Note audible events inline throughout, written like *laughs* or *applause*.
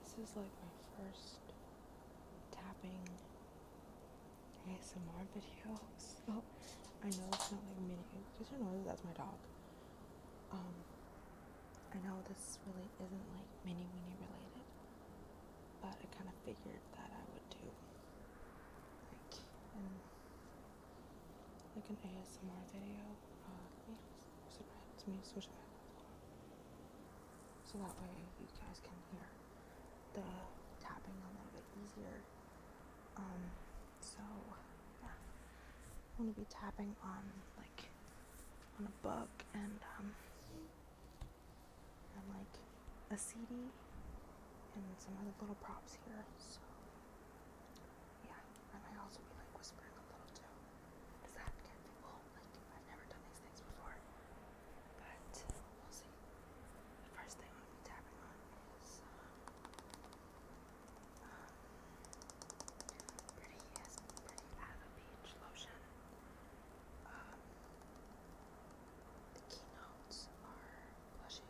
This is like my first tapping ASMR video, *laughs* Oh, I know it's not like mini. These know noises. That's my dog. Um, I know this really isn't like mini weenie related, but I kind of figured that I would do like an, like an ASMR video. Uh, so that way you guys can hear the tapping a little bit easier. Um, so yeah, I'm gonna be tapping on like on a book and um, and like a CD and some other little props here. So yeah. I might also be like whispering a little too. Does that get people? I've never done these things before. But we'll see. first thing I'm be tapping on is um, um, pretty is pretty Ava lotion. Um, the keynotes are blushing,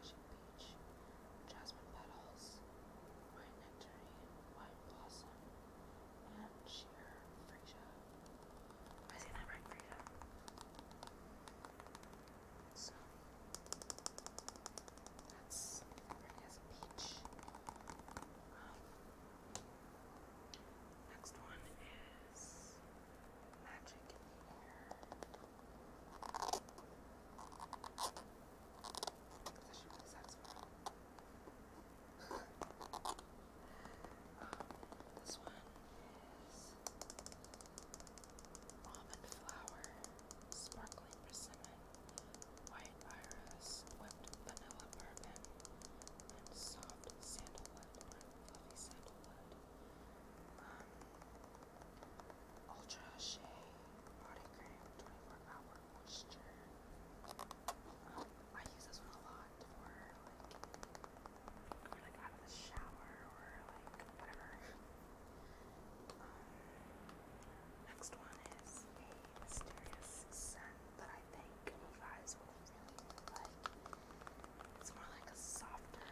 blushing peach, jasmine petals, white nectarine, white blossom, and sheer Frisia. that right, Frisia. So that's already has um, next one is magic in here. Because I this one is almond flour, sparkling persimmon, white iris, whipped vanilla bourbon, and soft sandalwood fluffy sandalwood. Ultra Shea Body Cream 24 Hour I use this one a lot for like, or, like out of the shower or like whatever. Um, next one is a mysterious scent that I think you guys will really like. It's more like a softer,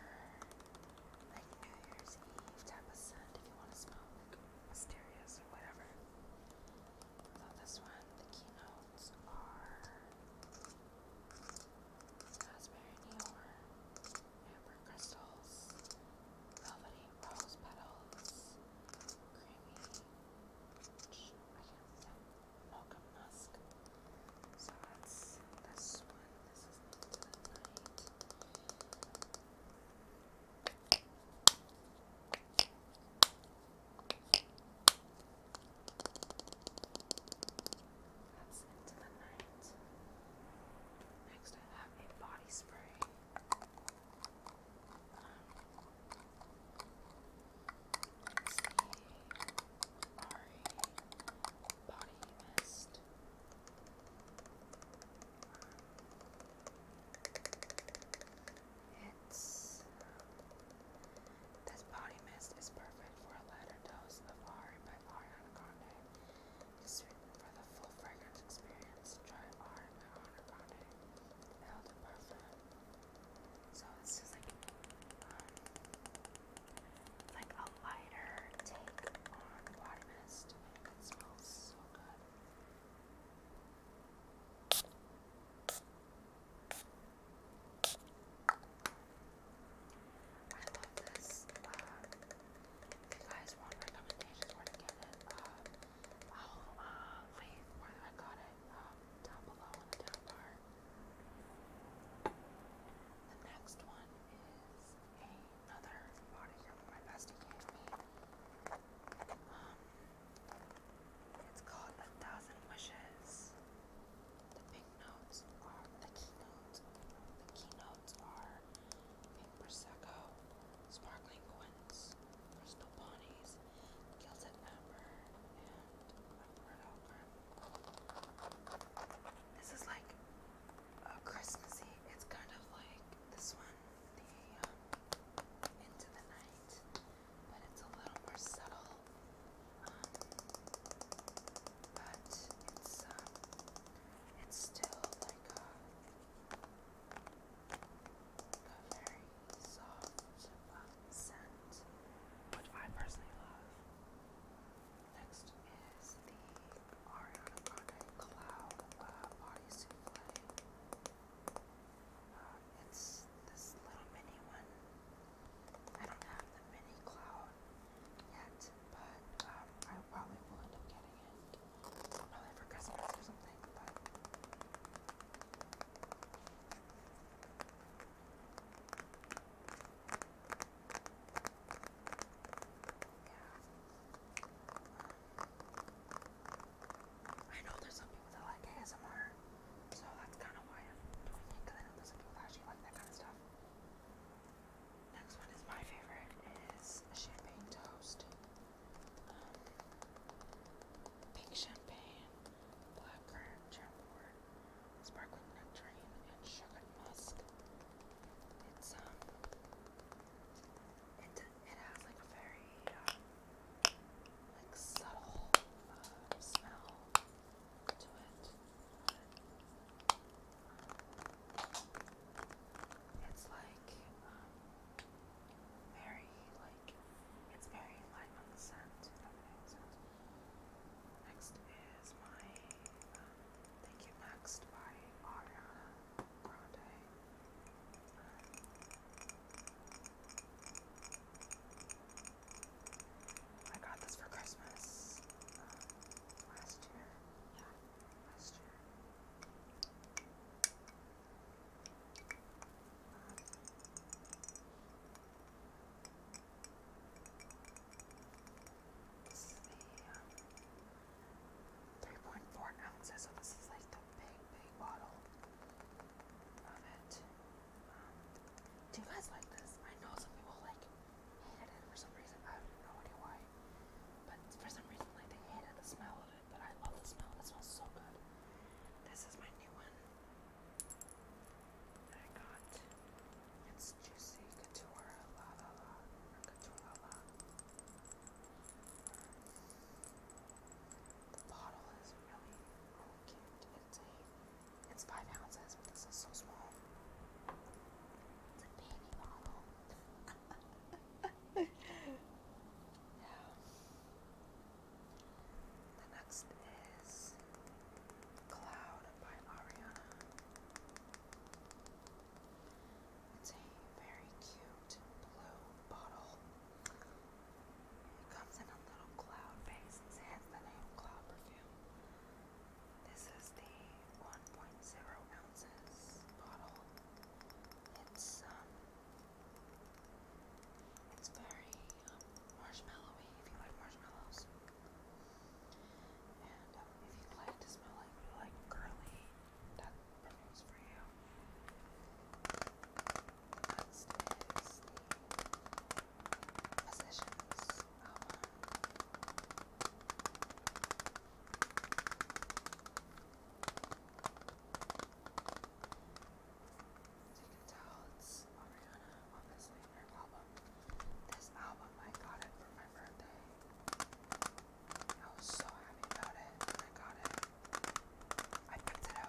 like New Year's Eve type of scent if you want to smell like mysterious or whatever. So this one, the keynotes are raspberry amber crystals, velvety rose petals, creamy, I can musk. So this one. This is the night. That's into the night. Next, I have a body spray. Um, it's the Ari Body Mist. Um, it's this body mist is perfect for a lighter dose of Ari by Ariana It's written for the full fragrance experience. Try Ari by Ariana Grande. So it's just like um, like a lighter take on body mist. It smells so good. I love this. you guys want recommendations where to get it, uh, leave where I got it down below the next one is another body from my um, it's called A Thousand Wishes. The pink notes are the keynotes. The keynotes are pink prosecco, sparkling quince, crystal ponies, gilded amber, This is like a Christmassy. It's kind of like this one the Into the Night, but it's a little more subtle. Um, but it's um, it's still like a, very soft um, scent, which I personally love. Next is the Ariana Cloud uh, Body Souffle. Uh, it's this little mini one. I don't have the mini cloud yet, but um, I probably will end up getting it. Probably for Christmas or something, but. Yeah. I know there's some people that like ASMR, so that's kind of why I'm doing it, because I know some people actually like that kind of stuff. Next one is my favorite, is champagne toast. Um, champagne, blackcurrant jamboard, sparkling nectarine, and sugar musk. It's um it has like a very uh, like subtle uh, smell to it. It's like um, very like it's very light on the scent. Next is my um, Thank You Next by Ariana Grande. I got this for Christmas uh, last year. Yeah, last year. Um, this 3.4 ounces, so this is like the big, big bottle of it. Um, do guys like this? I know some people like hate it for some reason. I have no idea why. But for some reason, like they hated the smell of it, but I love the smell. It smells so good. This is my new one that I got. It's juicy Couture La La La. Couture La La. The bottle is really, cute. It's a, it's five ounces, but this is so small. It's a baby bottle. yeah. *laughs* The next is Cloud by Ariana. It's a very cute blue bottle. It comes in a little cloud base. It has the name Cloud Perfume. This is the 1.0 ounces bottle. It's um, it's very um, marshmallowy. If you like marshmallows, and um, if you like to smell like like curly as you can tell, it's Ariana, obviously, in her album. This album, I got it for my birthday. I was so happy about it when I got it. I picked it um,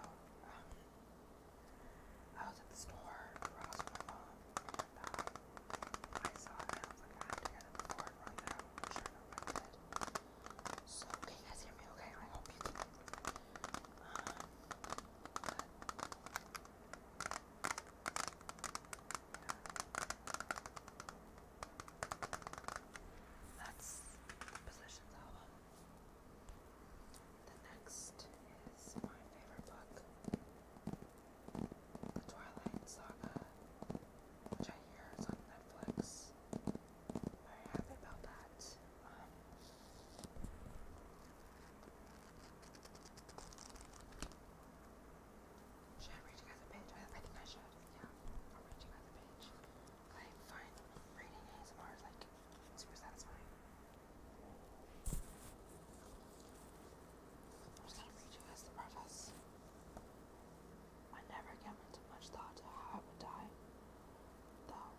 I was at the store I saw it, I was like, I have to get it before it runs out. Sure I did. So, you guys hear me okay? I hope you can. Um, that's Positions album. The next is my favorite book, The Twilight Saga, which I hear is on Netflix. Very happy about that. Um, should I read you guys a page? I, think I should. Yeah, I'll read you guys a page. I find reading ASMR is like super satisfying. I'm just gonna read you guys the preface. I never gave much thought to how I would die, though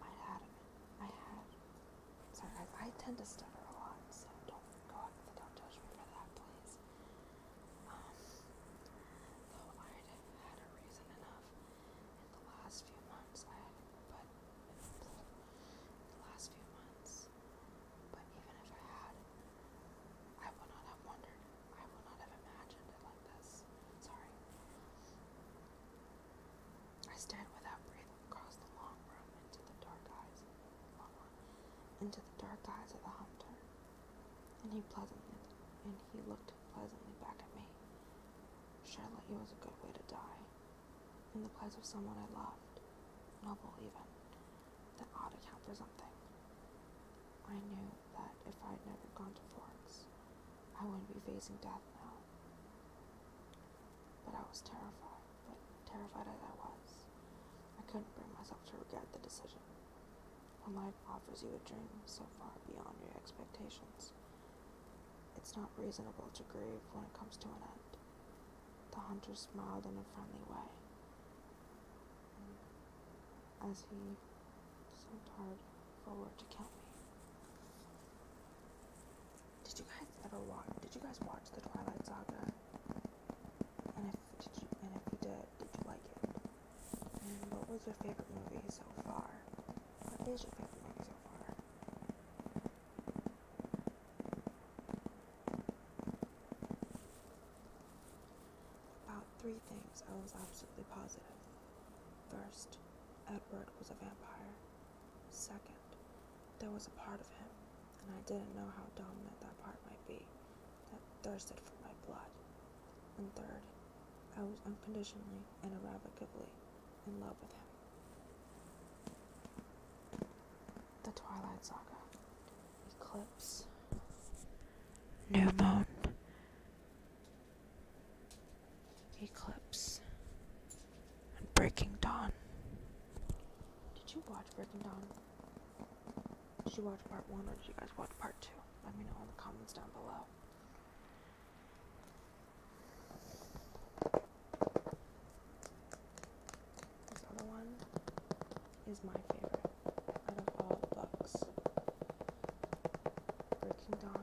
I had, I had. Sorry guys, I tend to stutter a lot, so don't go ahead, don't judge me for that, please. Um, though I'd had a reason enough in the last few months, but in the last few months, but even if I had, I would not have wondered. I would not have imagined it like this. Sorry. I stared without breathing across the long room into the dark eyes, long room, into the dark eyes of the hunter and he pleasantly, and he looked pleasantly back at me. Charlotte, it was a good way to die, in the place of someone I loved, noble even, that ought to count for something. I knew that if I would never gone to Florence, I wouldn't be facing death now. But I was terrified, but terrified as I was, I couldn't bring myself to regret the decision. When life offers you a dream so far beyond your expectations, it's not reasonable to grieve when it comes to an end. The hunter smiled in a friendly way mm. as he slumped forward to count me. Did you guys ever watch? Did you guys watch the Twilight Saga? and if you did, did you like it? And what was your favorite movie so far? What is your favorite movie so far? About three things I was absolutely positive. First, Edward was a vampire. Second, there was a part of him, and I didn't know how dominant that part might be, thirsted for my blood. And third, I was unconditionally and irrevocably in love with him. The Twilight Saga Eclipse New Moon Eclipse and Breaking Dawn. Did you watch Breaking Dawn? Did you watch part one or did you guys watch part two? Let me know in the comments down below. This other one is my favorite out of all books. Breaking Dawn.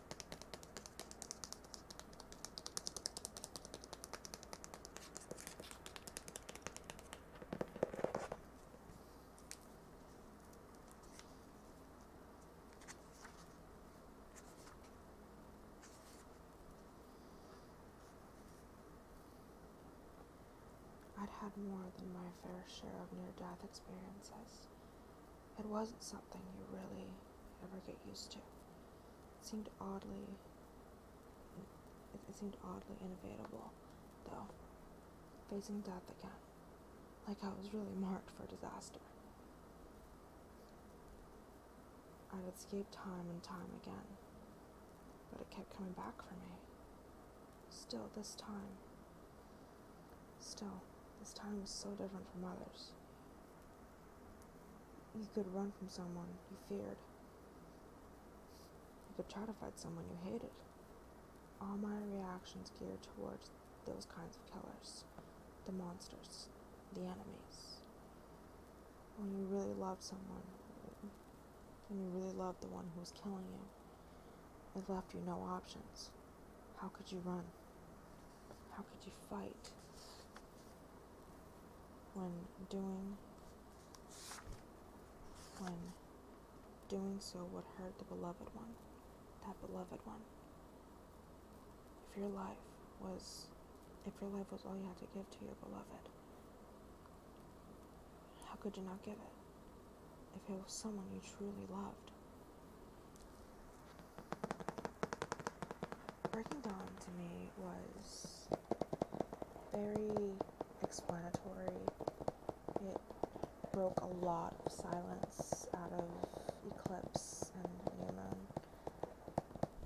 I'd had more than my fair share of near death experiences. It wasn't something you really ever get used to seemed oddly it, seemed oddly inevitable, though. Facing death again, like I was really marked for disaster. I'd escaped time and time again, but it kept coming back for me. Still, this time. Still, this time was so different from others. You could run from someone you feared. You could try to fight someone you hated. All my reactions geared towards those kinds of killers, the monsters, the enemies. When you really loved someone, when you really loved the one who was killing you, it left you no options. How could you run? How could you fight when doing when doing so would hurt the beloved one, that beloved one? If your life was if your life was all you had to give to your beloved, how could you not give it? If it was someone you truly loved. Breaking Dawn to me was very explanatory. It broke a lot of silence out of Eclipse and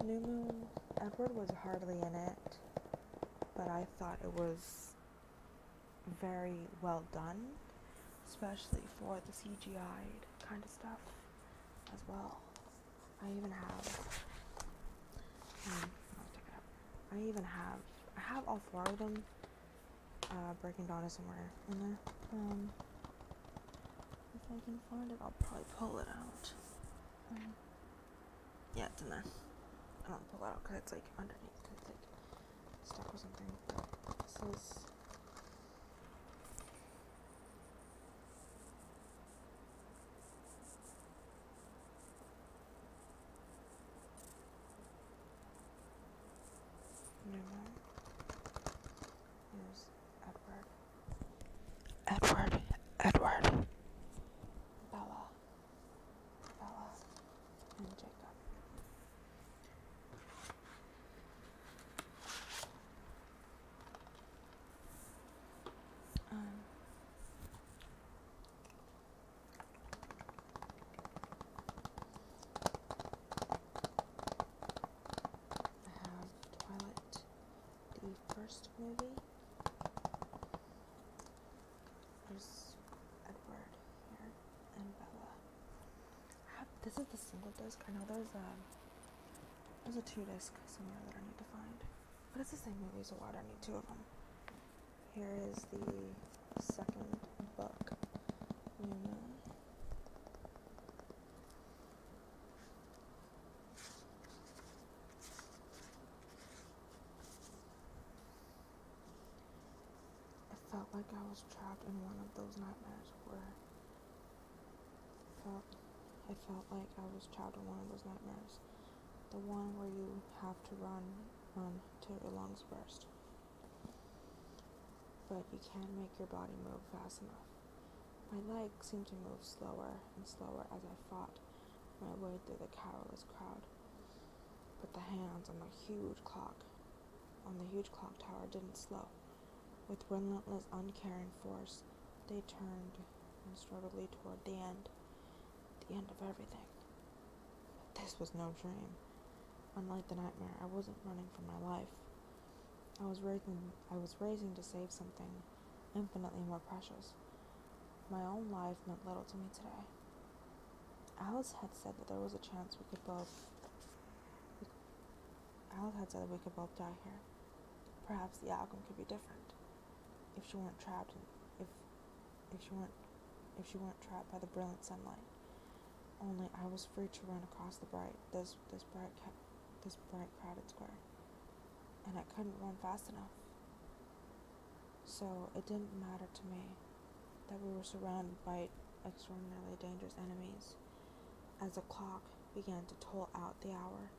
New Moon. New Moon, Edward was hardly in it, but I thought it was very well done, especially for the CGI kind of stuff as well. I even have. Um, I even have. I have all four of them. Uh, breaking Dawn is somewhere in there. Um, if I can find it, I'll probably pull it out. Um, yeah, it's in there. I don't pull it out because it's like underneath. It's like stuck or something. This Edward. Edward. Edward. Bella. Bella. And Jacob. Um, I have Twilight, the first movie. There's Edward here and Bella this is the single disc. I know there's a there's a two disc somewhere that I need to find, but it's the same movie, so why do I need two of them? Here is the second book, Luna. It felt like I was trapped in one of those nightmares where I felt like I was trapped in one of those nightmares. The one where you have to run, run to your lungs burst. But you can't make your body move fast enough. My legs seemed to move slower and slower as I fought my way through the careless crowd. But the hands on the huge clock on the huge clock tower didn't slow. With relentless, uncaring force, they turned and toward the end, the end of everything. But this was no dream. Unlike the nightmare, I wasn't running for my life. I was racing, I was racing to save something infinitely more precious. My own life meant little to me today. Alice had said that there was a chance we could both Alice Alheads that we could both die here. Perhaps the outcome could be different. If she weren't trapped in, if if she weren't if she weren't trapped by the brilliant sunlight. Only I was free to run across the bright this this bright this bright crowded square. And I couldn't run fast enough. So it didn't matter to me that we were surrounded by extraordinarily dangerous enemies. As the clock began to toll out the hour,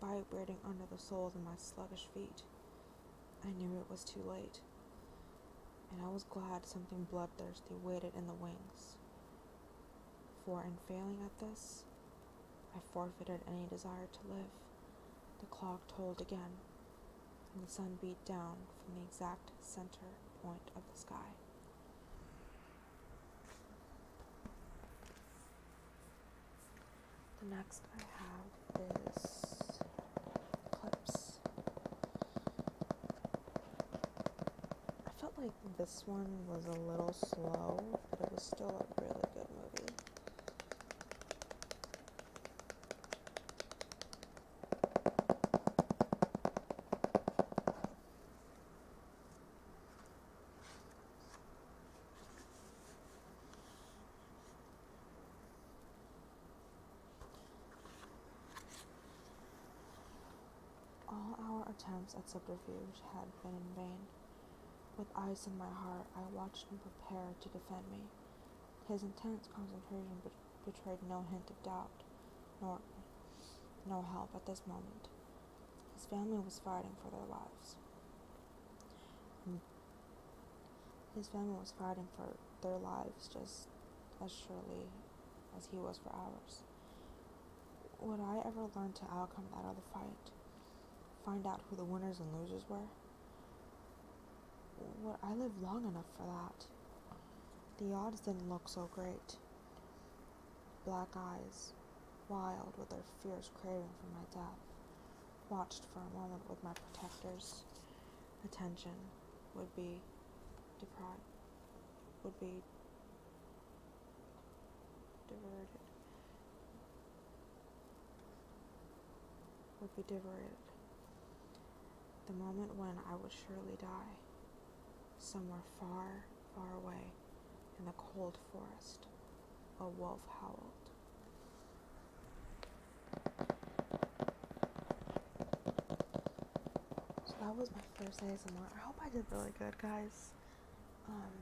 vibrating under the soles of my sluggish feet. I knew it was too late, and I was glad something bloodthirsty waited in the wings. For in failing at this, I forfeited any desire to live. The clock tolled again, and the sun beat down from the exact center point of the sky. The next I have is clips. I felt like this one was a little slow, but it was still a really good movie. All our attempts at subterfuge had been in vain. With eyes in my heart, I watched him prepare to defend me. His intense concentration betrayed no hint of doubt, nor no help at this moment. His family was fighting for their lives. His family was fighting for their lives just as surely as he was for ours. Would I ever learn to outcome that other fight? Find out who the winners and losers were? Would I live long enough for that? The odds didn't look so great. Black eyes, wild with their fierce craving for my death, watched for a moment with my protector's attention would be deprived, would be diverted, would be diverted. The moment when I would surely die somewhere far, far away in the cold forest, a wolf howled. So that was my first ASMR. I hope I did really good, guys. Um,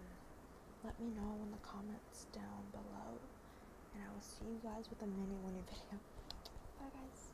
let me know in the comments down below, and I will see you guys with a mini winnie video. Bye, guys.